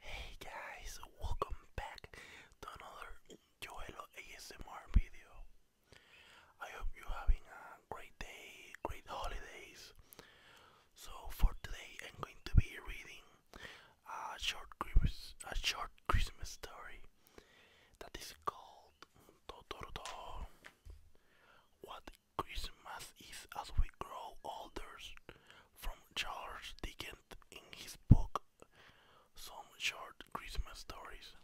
Hey guys, welcome back to another Joelo ASMR video. I hope you're having a great day, great holidays. So for today, I'm going to be reading a short Christmas, a short Christmas story that is called Totoro. What Christmas is as we grow older from Charles Dickens in his book Some Short Christmas Stories.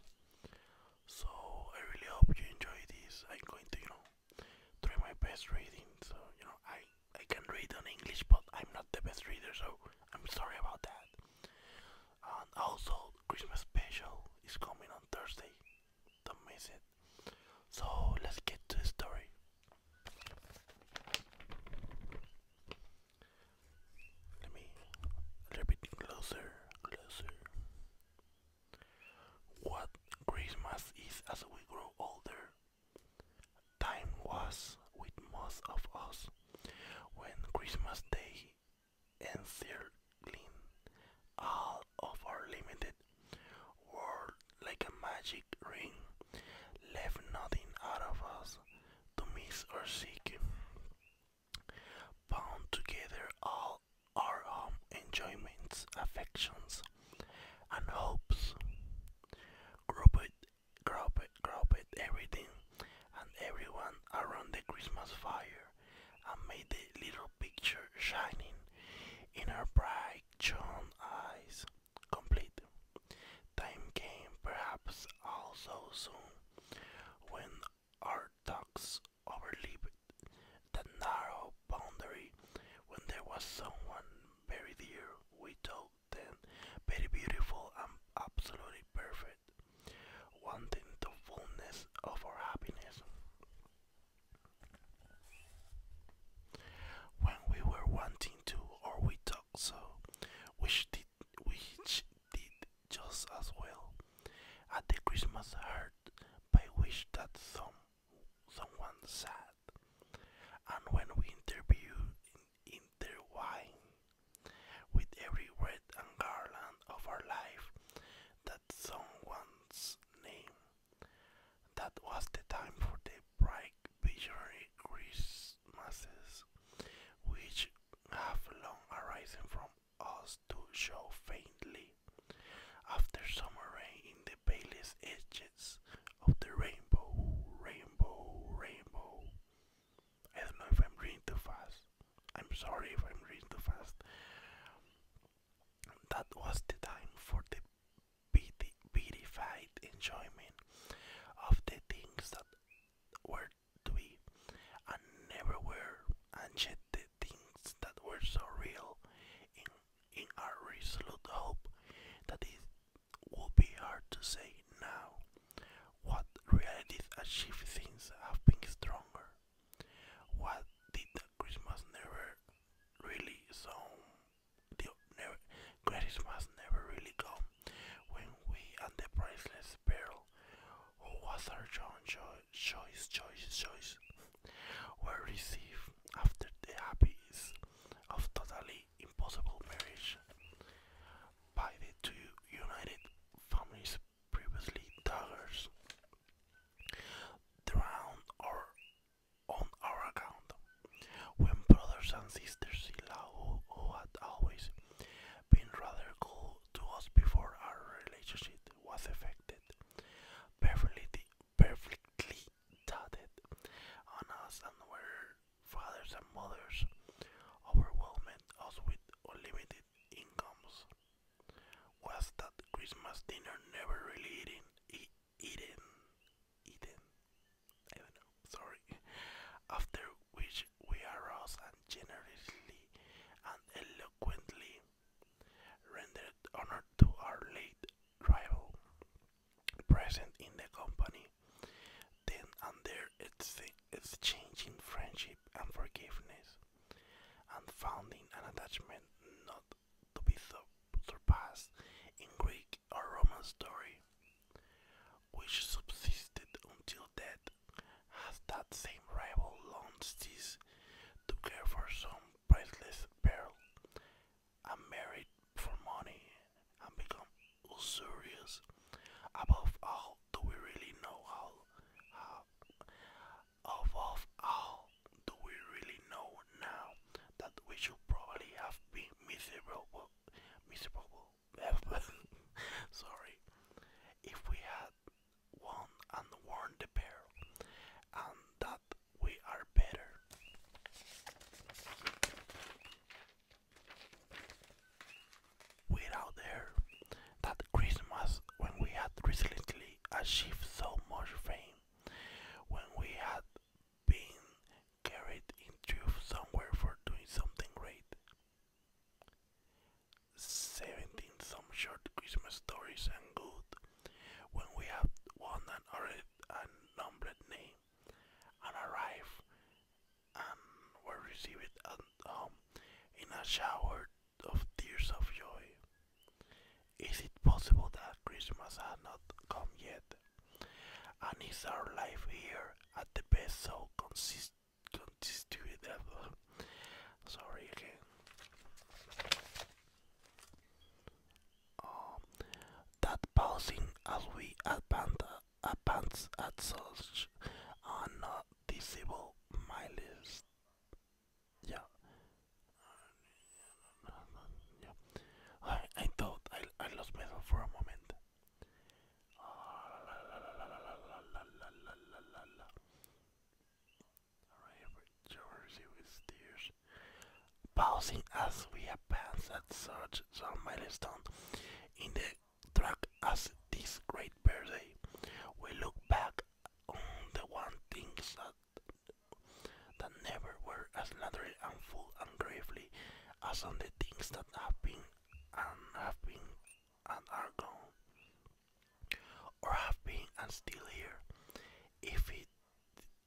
So I really hope you enjoy this. I'm going to, you know, try my best reading. So, you know, I, I can read on English, but I'm not the best reader, so I'm sorry about that. And also, Christmas special is coming on Thursday. Don't miss it. So let's get to the story. Let me a little bit closer, closer. What Christmas is as we grow older. Time was with most of us when Christmas Day encircling all of our limited whirled like a magic ring, left nothing out of us to miss or seek. Bound together all our um, enjoyments, affections, and hopes, grouped, grouped, grouped everything and everyone around the Christmas fire, and made the little picture shining in her bright, John eyes complete. Time came, perhaps also soon, when our dogs overleaped that narrow boundary when there was someone very dear we told them very beautiful and absolutely perfect wanting the fullness of our happiness when we were wanting to, or we thought so, which did, which did just as well, at the Christmas herd, I which that some, someone sat, and when we interviewed in, intertwined with every wreath and garland of our life that someone's name. That was the time for the bright visionary Christmases, which have long arisen from us to show faintly after summer rain in the palest edges of the rainbow, rainbow, rainbow. I don't know if I'm reading too fast. I'm sorry if I'm reading too fast. That was the time for the be the beatified enjoyment of the things that were to be, and never were, and yet the things that were so real in, our resolute hope that it will be hard to say now what realities achieved things have been stronger. What did the Christmas never really sound the greatest must never really go, When we and the priceless pearl, who was our John cho choice, choice, choice, were received after the happiness of totally impossible marriage by the two united families previously daughters. Drowned or on our account. When brothers and sisters in law who, had always been rather cool to us before our relationship was affected, perfectly, perfectly dotted on us and were fathers and mothers, overwhelmed us with unlimited incomes. Was that Christmas dinner never really eating, Eden, Eden, I don't know, sorry, after which we arose and generously and eloquently rendered honor to our late rival, present in the company, then and there exchanging friendship and forgiveness, and founding an attachment to be surpassed in Greek or Roman story, which subsisted until death, as that same rival long this to care for some priceless pearl, and married for money, and become usurious. Above all, do we really know how, Above all, do we really know now that we should probably have been miserable, miserable, sorry, if we had won and worn the pair, and that we are better? Without her, that Christmas when we had recently achieved so much fame when we had been carried in somewhere for doing something great. 17. Some short Christmas stories and good. When we have one and already a numbered name and arrived and were received at home in a shower of tears of joy. Is it possible that Christmas has not come yet? And is our life here at the best so consist constituted? Sorry again. Um, that pausing as we advance at such unnoticeable miles yeah. I thought I I lost myself for a moment. Pausing as we advance at such some milestone in the track as this great birthday, we look back on the one things that never were as naturally and full and gravely as on the things that have been and have been and are gone, or have been and still here, if it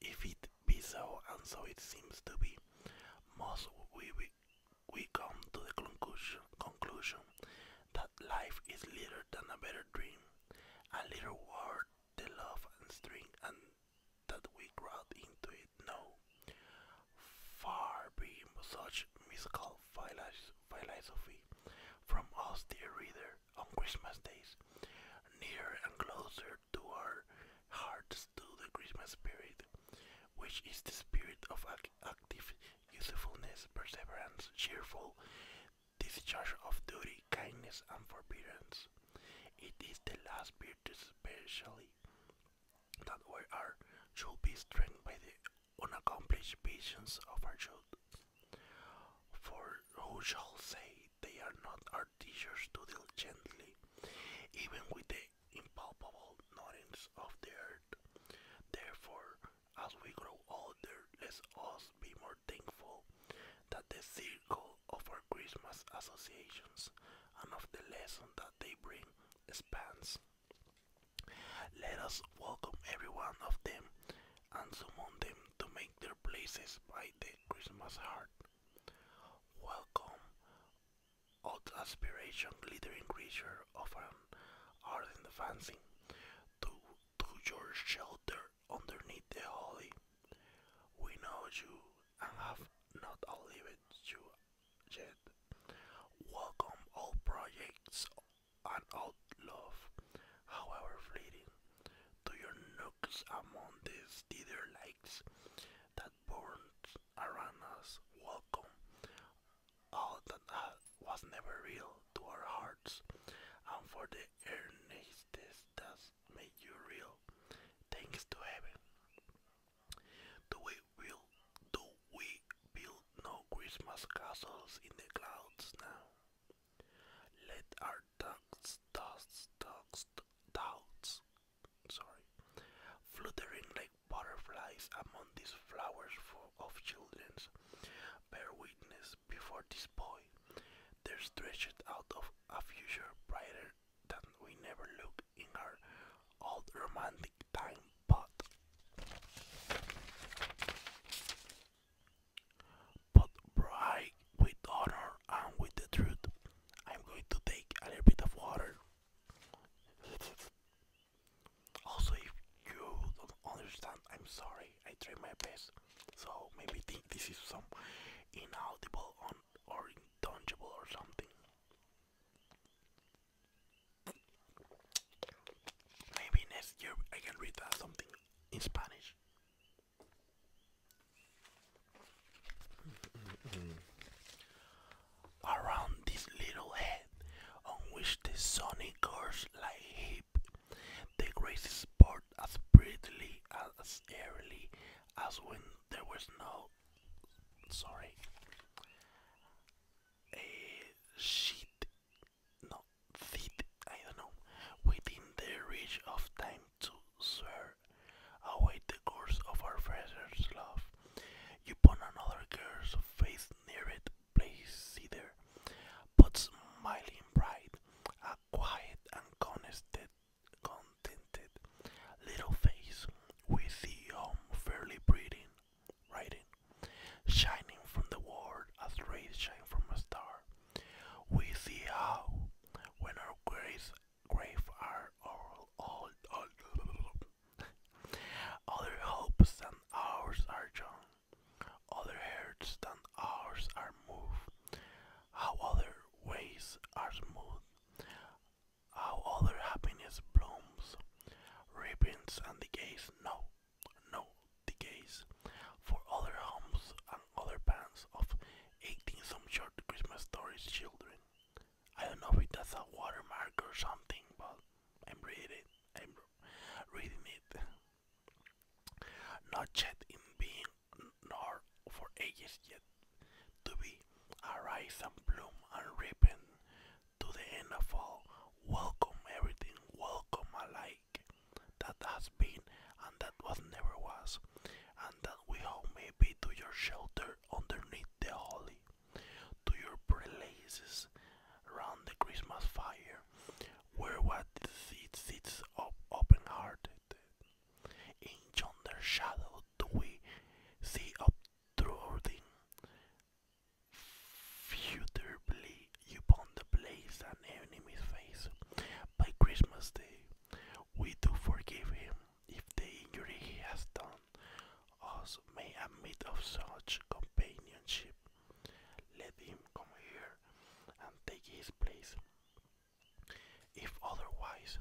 if it be so, and so it seems to be, must we, we come to the conclusion conclusion that life is little than a better dream, a little word, the love and strength, and that we crowd into it. No, far be such mystical philosophy from us, dear reader, on Christmas days, nearer and closer to our hearts to the Christmas spirit, which is the spirit of active usefulness, perseverance, cheerful discharge of duty, kindness, and forbearance. It is the last virtue, especially that we are should be strengthened by the unaccomplished visions of our youth. For who shall say they are not our teachers to deal gently, even with the impalpable knowings of the earth? Therefore, as we grow older, let us be more thankful that the circle of our Christmas associations and of the lesson that they bring expands. Let us welcome every one of them and summon them to make their places by the Christmas heart. Welcome, O aspiration glittering creature of an ardent fancy, to, to your shelter underneath the holly. We know you and have not outlived you yet. Welcome all projects and all love, however fleeting, to your nooks among these dither lakes that burn around us. Welcome all that was never real to our hearts, and for the earnestness does make you real. Thanks to heaven. Do we will do we build no Christmas castles in the clouds now? Let our ducks, dusts, ducks, doubts, sorry, fluttering like butterflies among these flowers of children's bear witness before this boy. There stretched out of a future brighter than we never looked in our old romantic time pot. But bright with honor and with the truth, I'm going to take a little bit of water. Also, if you don't understand, I'm sorry. I try my best. So maybe this is some inaudible or intangible or something. Maybe next year I can read something in Spanish. Around this little head on which the sun curves like heap the races poured as brightly and as airily as when there was no. Sorry. A sheet. No, feet. I don't know. Within the reach of time to swear away the course of our father's love. Upon another girl's face near it, place there, but smiling bright, a quiet and contented, contented little face with the um, fairly pretty writing shining from the world as rays shine from a star. We see how when our graves, grave are all, all, all other hopes and ours are young. Other hearts than ours are moved, how other ways are smooth, how other happiness blooms, ribbons and decays, no, no decays, for other homes and other bands of 18 some short Christmas stories children. I don't know if that's a watermark or something, but I'm reading reading it. Not yet in being, nor for ages yet to be, arise and bloom and ripen to the end of all. Welcome everything, welcome alike that has been and that was never was, and that we all may be to your shelter underneath the holy, to your prelaces round the Christmas fire, where was the seats of open-hearted. In yonder shadow do we see obtruding futurably upon the place an enemy's face. By Christmas Day, we do forgive him if the injury he has done us may admit of such companionship. Let him come here and take his place. If otherwise,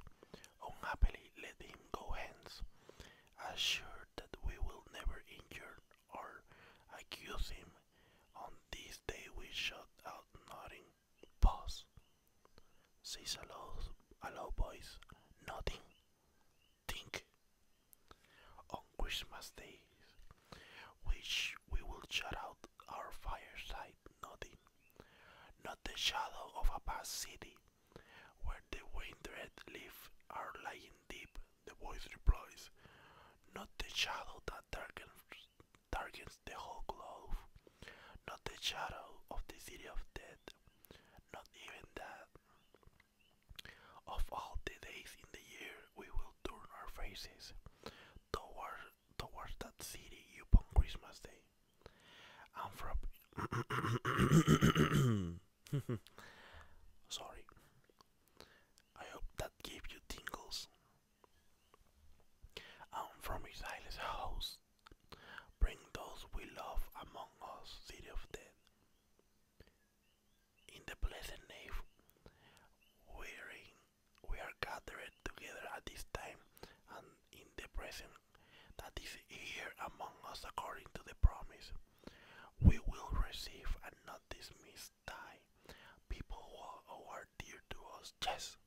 unhappily let him go hence, assured that we will never injure or accuse him. On this day we shut out nodding. Pause. Says a low, a voice. Nothing think on Christmas Day, which we will shut out our fireside, nothing, not the shadow of a past city, where the windred leaves are lying deep. The voice replies, not the shadow that darkens, darkens the whole globe, not the shadow of the city of death, not even that. Of all the days in the year, we will turn our faces toward, towards that city upon Christmas Day. I'm from. Sorry. I hope that gave you tingles. And from his island house, bring those we love among us, city of death in the blessed name wherein we are gathered together at this time and in the present that is here among us according to the promise. We will receive and not dismiss die people who are dear to us. Yes,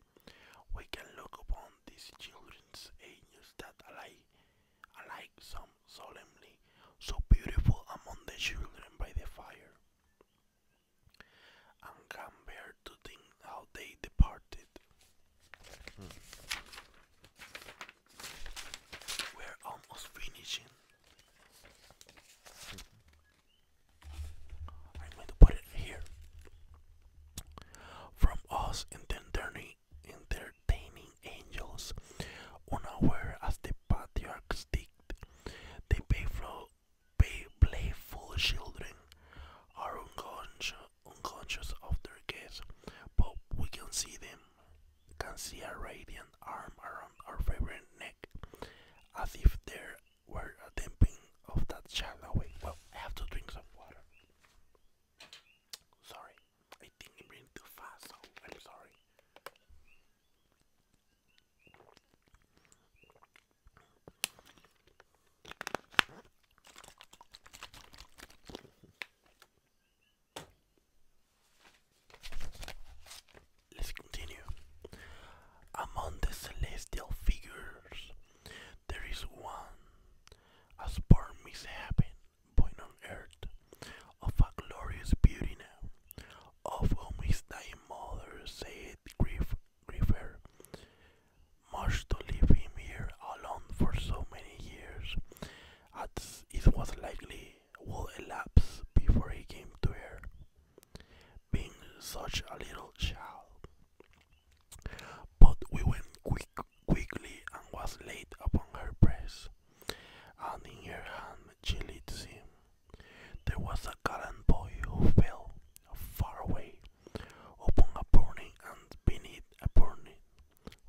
we can look upon these children's angels that alike, alike some solemnly, so beautiful among the children by the fire, and can bear to think how they departed. Hmm. We're almost finishing. I'm hmm. going to put it here. From us in 1030 entertaining angels, unaware as the patriarchs did. They playful, play, playful children are unconscious, unconscious of their guess, but we can see them, can see a radiant arm around our favorite neck, as if there were a damping of that child away. Well, I have to drink some water. Sorry. I think it ran too fast, so I'm sorry. Let's continue. Among the celestial figures, there is one, as poor mishap happened, born on earth, of a glorious beauty now, of whom his dying mother said, Grief, grief Must leave him here alone for so many years, as it was likely would elapse before he came to her, being such a little child. But we went quick quickly and was laid upon her breast, and in her hand she lit him. There was a gallant boy who fell far away, upon a burning and beneath a burning,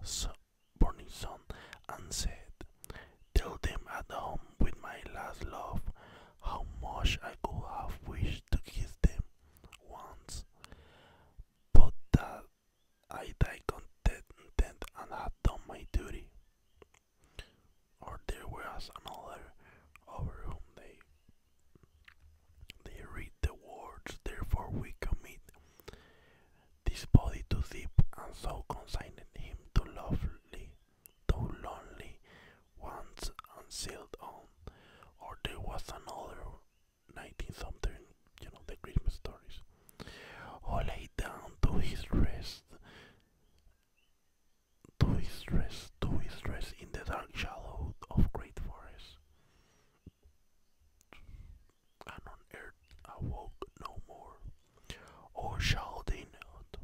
so, burning sun, and said, Tell them at home with my last love how much I could have wished to kiss them once, but that I died content and had done my duty. Or there was another over whom they they read the words, therefore we commit this body to deep and so consigned him to lovely, to lonely ones and sealed on. Or there was another 19 something, you know, the Christmas stories. All oh, laid down to his rest, to his rest, to his rest in the dark shallow of great forest. And on earth awoke no more. Or shall they not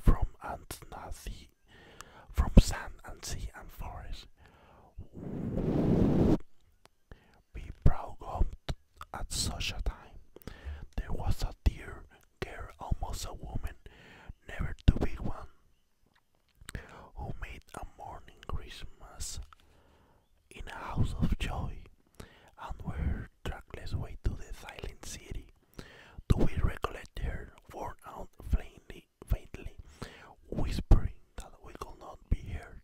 from ant sea, from sand and sea and forest? be proud of at such a time. There was a dear girl, almost a woman, never to be one, who made a morning Christmas in a house of joy, and were trackless way to the silent city. Do we recollect her, worn out faintly, faintly, whispering that we could not be heard?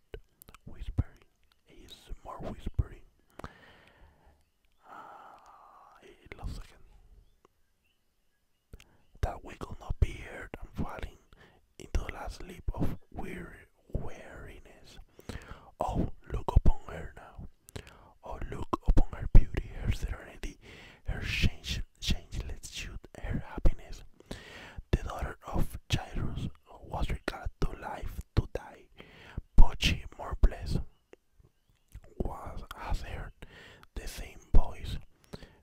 whispering, ASMR whispering. Uh, it lost again. That we could be heard and falling into the last sleep of weary weariness. Oh, look upon her now. Oh, look upon her beauty, her serenity, her change, changeless youth, her happiness. The daughter of Jairus, was regarded to life to die. Pochi Morbles was has heard the same voice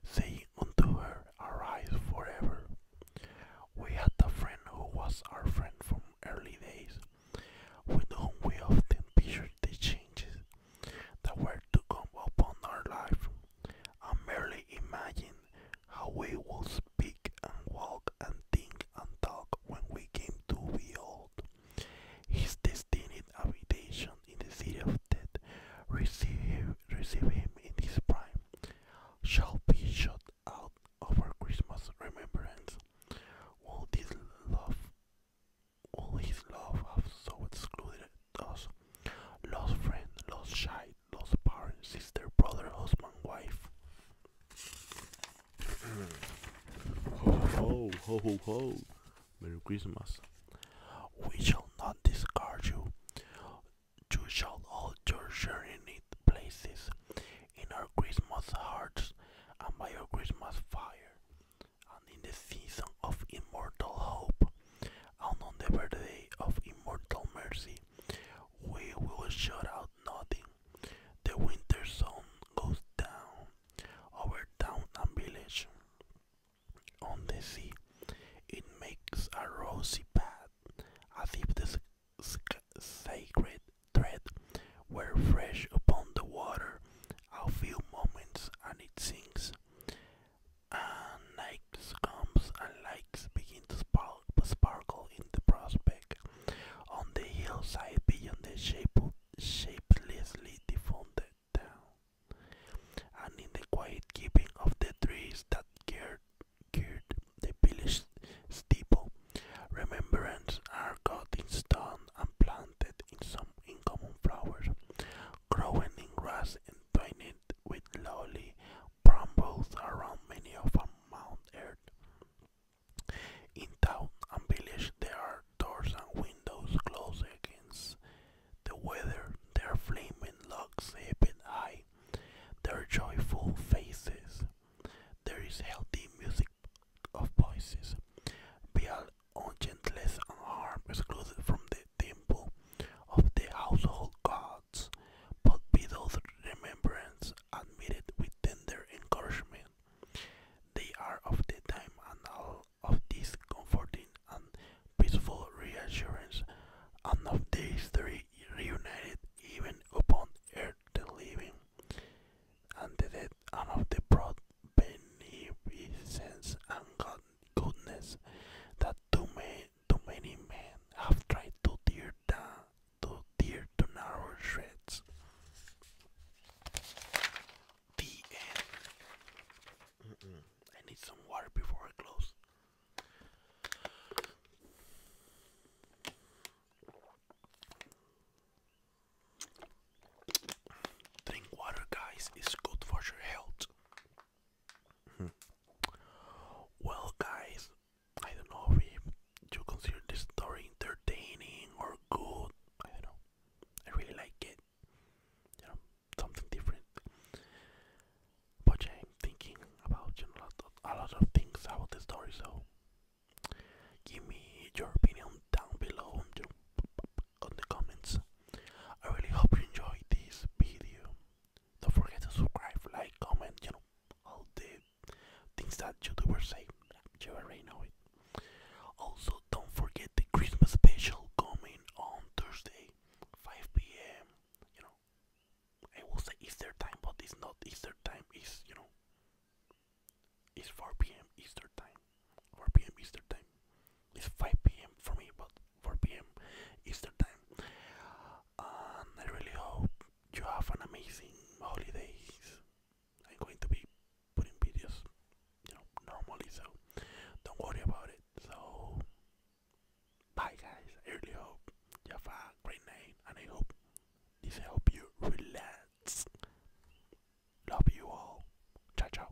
saying unto her, Arise forever. We had a friend who was our friend from early days, with whom we often pictured the changes that were to come upon our life, I merely imagined how we will speak and walk and think and talk when we came to be old. His destined habitation in the city of death, receive him, receive him in his prime, shall be shut out of our Christmas remembrance. All this love, all his love have so excluded us Lost friend, lost child, lost parent, sister, brother, husband, wife. ho, ho, ho, ho, ho. Merry Christmas. We shall not discard you. You shall hold your journey places in our Christmas hearts and by our Christmas fire, and in the season of immortal hope, and on the birthday of immortal mercy. We will shut out nothing. The winter sun goes down over town and village. On the sea, it makes a rosy path, as if the sacred thread were fresh upon the water. A few moments and it sinks and night's comes and lights begin to sparkle in the prospect. On the hillside beyond the shape, shapelessly defunct town, and in the quiet keeping of the trees that guard the village steeple, remembrance are cut in stone and planted in some uncommon flowers, growing in grass and twinned with lily brambles around many of Mount Earth. In town and village there are doors and windows closed against the weather, their flaming locks heaped high, their joyful faces. There is healthy music of voices. Beal on gentleness and harm excluded from the temple of the household god thoughts, but without remembrance admitted with tender encouragement. They are of the time and all of this comforting and peaceful reassurance, and of these three reunited even upon earth the living and the dead, and of the broad beneficence and God goodness that do men too many men have tried to tear down, to tear to narrow shreds. The end. I need some water before I close. Drink water, guys, it's good for your health. Hmm. Well, guys, I don't know if you consider this story entertaining or good. I don't know. I really like it. You know, something different. But I'm thinking about a, lot of, a lot of things about the story, so give me your opinion down below on the comments. I really hope you enjoyed this video. Don't forget to subscribe, like, comment, you know, all the things that YouTubers say. You already know it. Also, don't forget the Christmas special coming on Thursday, 5 p.m. You know, I will say Easter time, but it's not Easter time. It's you know, it's 4 p.m. Easter time. 4 p.m. Easter time. It's 5 p.m. for me, but 4 p.m. Eastern time. And I really hope you have an amazing holidays. I'm going to be putting videos, you know, normally, so don't worry about it. So, bye, guys. I really hope you have a great night, and I hope this help you relax. Love you all. Ciao, ciao.